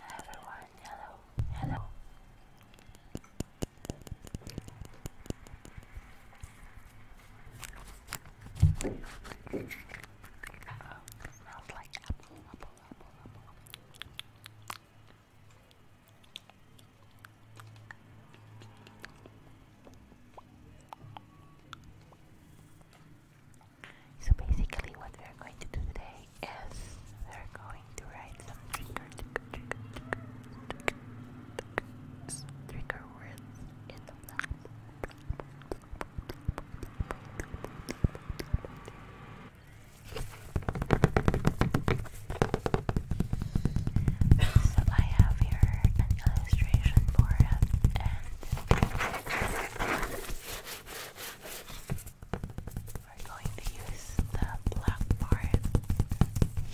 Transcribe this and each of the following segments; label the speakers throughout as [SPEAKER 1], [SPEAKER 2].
[SPEAKER 1] Everyone, hello, hello. smells like apple, apple, apple, apple. So basically what we are going to do today is we are going to write some trigger, trigger, trigger, trigger, trigger, words in the black. so I have here an illustration for us we're going to use the black part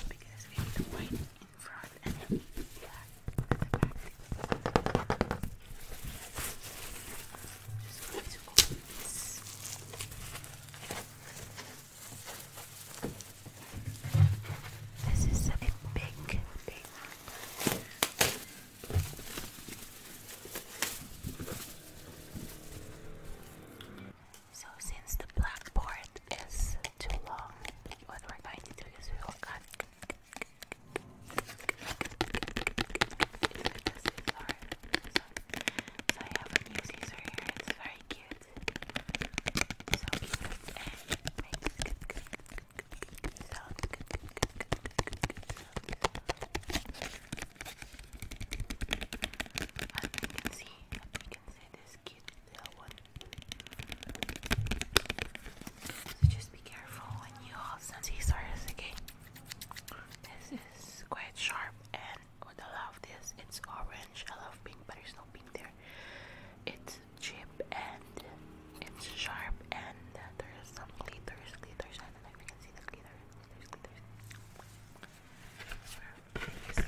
[SPEAKER 1] because we need white in front and black at the back. this. This is a big, big so since the blackboard is too long, what we're going to do is we will cut so I have a new here, it's very cute. As can see, you can see this kid, little one. So just be careful when you hold some scissors, okay? This is quite sharp, and what I love this, it's orange. I love pink, but there's no pink there. It's Chip and it's sharp and there's some glitters, glitters. I don't know if you can see the glitter. There's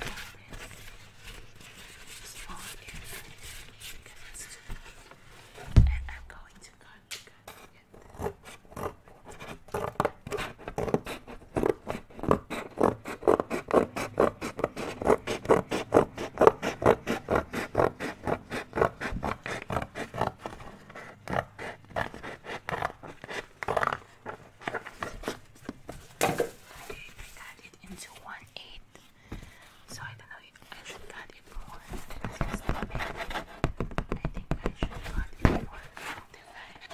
[SPEAKER 2] glitters. This And I'm cut it into one eight. So I don't know if I should cut it more than just a bit. I think I should cut it more than I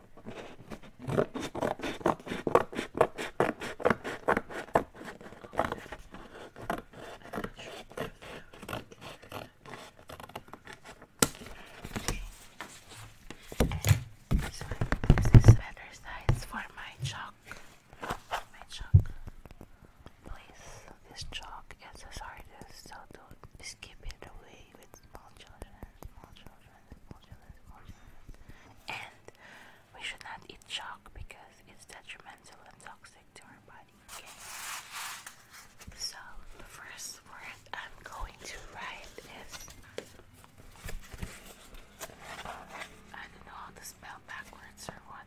[SPEAKER 2] So I
[SPEAKER 1] use size for my chalk. My chalk. Please, this chalk is as hard as so don't skip it away with small children, small children. And we should not eat chalk because it's detrimental and toxic to our body. So the first word I'm going to write is I don't know how to spell backwards or what.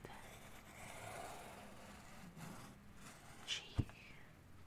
[SPEAKER 1] G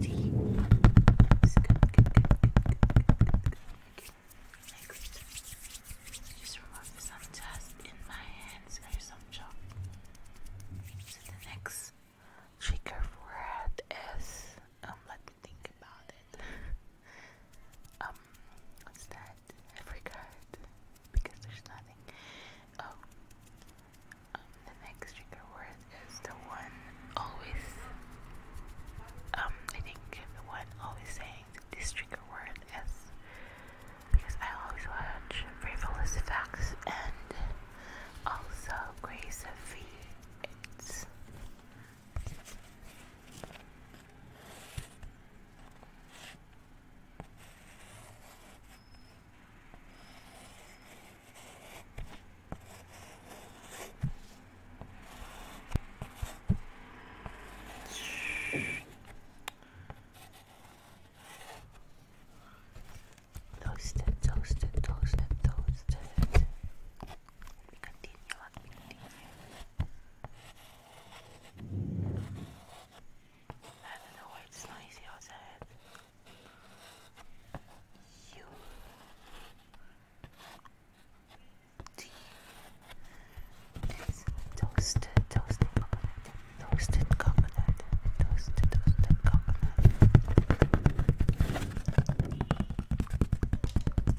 [SPEAKER 1] tea. It's just remove some dust in my hands or some chalk. So the next trigger for it is um let me think about it. um what's that? I forgot because there's nothing. Oh, the next trigger word is the one always, um, I think the one always saying this trigger word is because I always watch Frivolous Facts and also Grace of V. Toasted, toasted, toasted, toasted. Let me continue, let I don't know why it's noisy outside.
[SPEAKER 2] U T toasted, toasted coconut, toasted coconut, toasted, toasted coconut.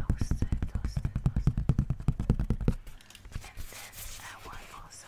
[SPEAKER 2] Toasted, toasted, toasted. And then uh, one also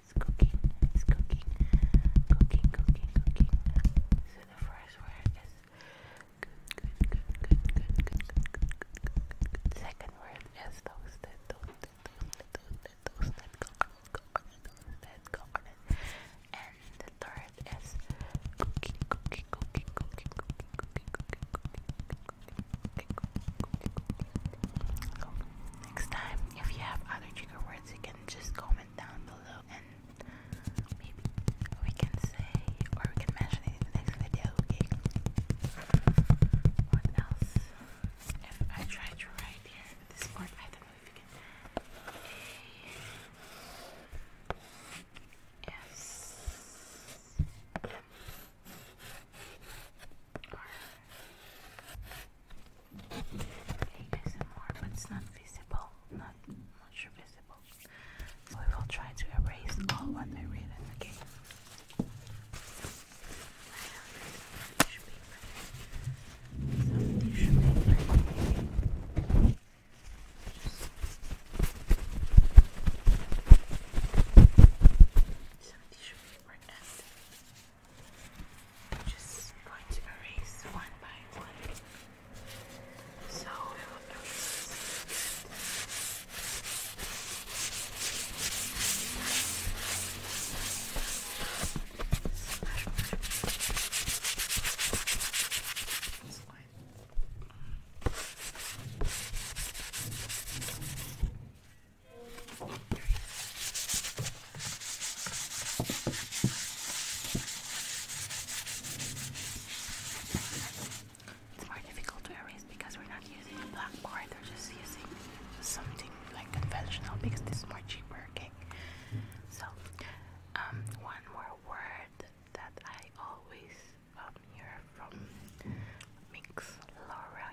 [SPEAKER 2] It's cooking, it's cooking, cooking, cooking, cooking. So the first word is good, good, good,
[SPEAKER 1] good, good, good, good, good, good, good. Second word is toasted, toasted, toasted, toasted, toasted, coconut, coconut, toasted, coconut. And the third is cooking, cooking, cooking, cooking, cooking, cooking, cooking, cooking, cooking, cooking, Next time, if you have other trigger words, you can just comment down below and maybe we can say or we can mention it in the next video, okay? What else? If I try to write here this part, I don't know if you Alright. ASMR, but it's not visible. Not much visible. So we will try to erase all what I read in the some tissue paper. Some tissue paper. Just some I'm just going to erase one by one. So we will erase this one. Mm. It's more difficult to erase because we're not using a blackboard, we're just using something like conventional because this is more cheaper, So, um, one more word that I always um, hear from Minx Laura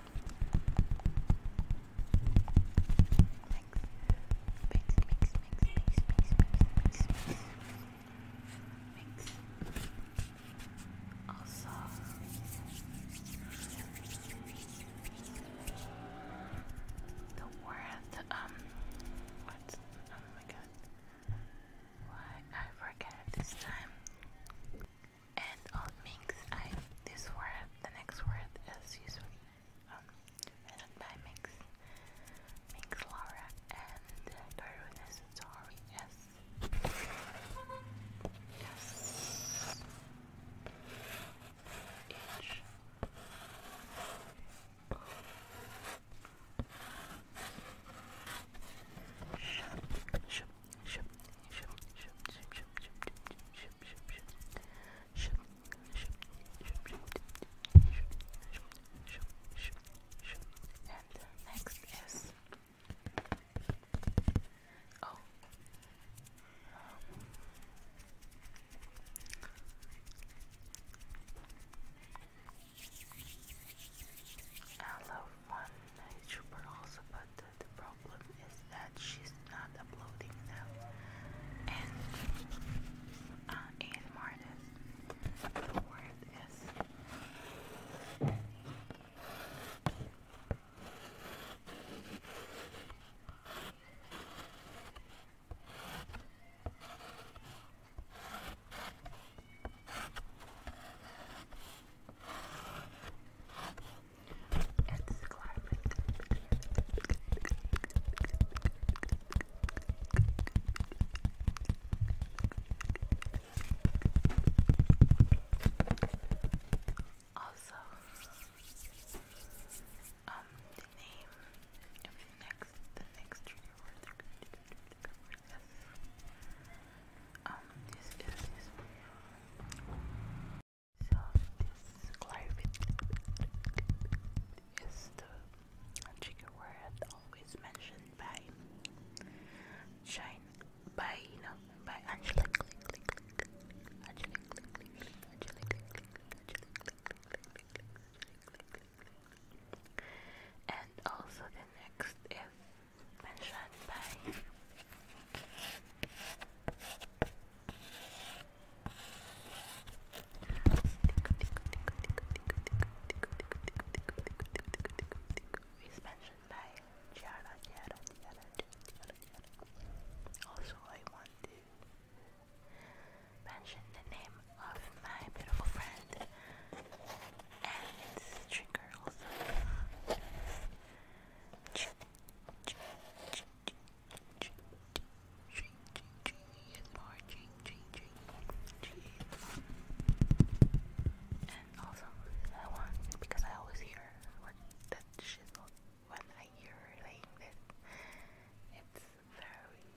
[SPEAKER 1] Also, the word, um, what? Oh my god. Why I forget this time and all um, things I this word the next word is usually um written by Mix Mix Laura and Darun sorry yes yes H Shub, and the
[SPEAKER 2] next is oh um, I love one YouTuber also, but
[SPEAKER 1] the, problem is that she's not uploading them. And uh, ASM artist, the word is. It's climbing. Also, um, the name of the next the next um, So this clarifit is the trigger word always mentioned by Shine by you know by Angela and also the next is mentioned by Also, I want to mention the name of my beautiful friend and trigger also. She is more ching ching ching. And also, I want because I always hear what that she's when I hear her saying this. It's very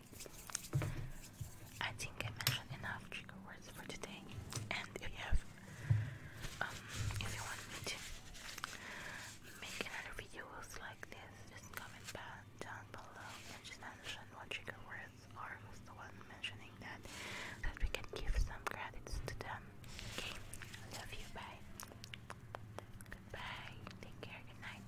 [SPEAKER 1] sleep. I think I mentioned enough trigger words for today. And if you um, want me to make another videos like this, just comment down below and just mention what trigger words are. Was the one mentioning that, that we can give some credits to them. Okay, love you. Bye. Goodbye. Take care. Good night.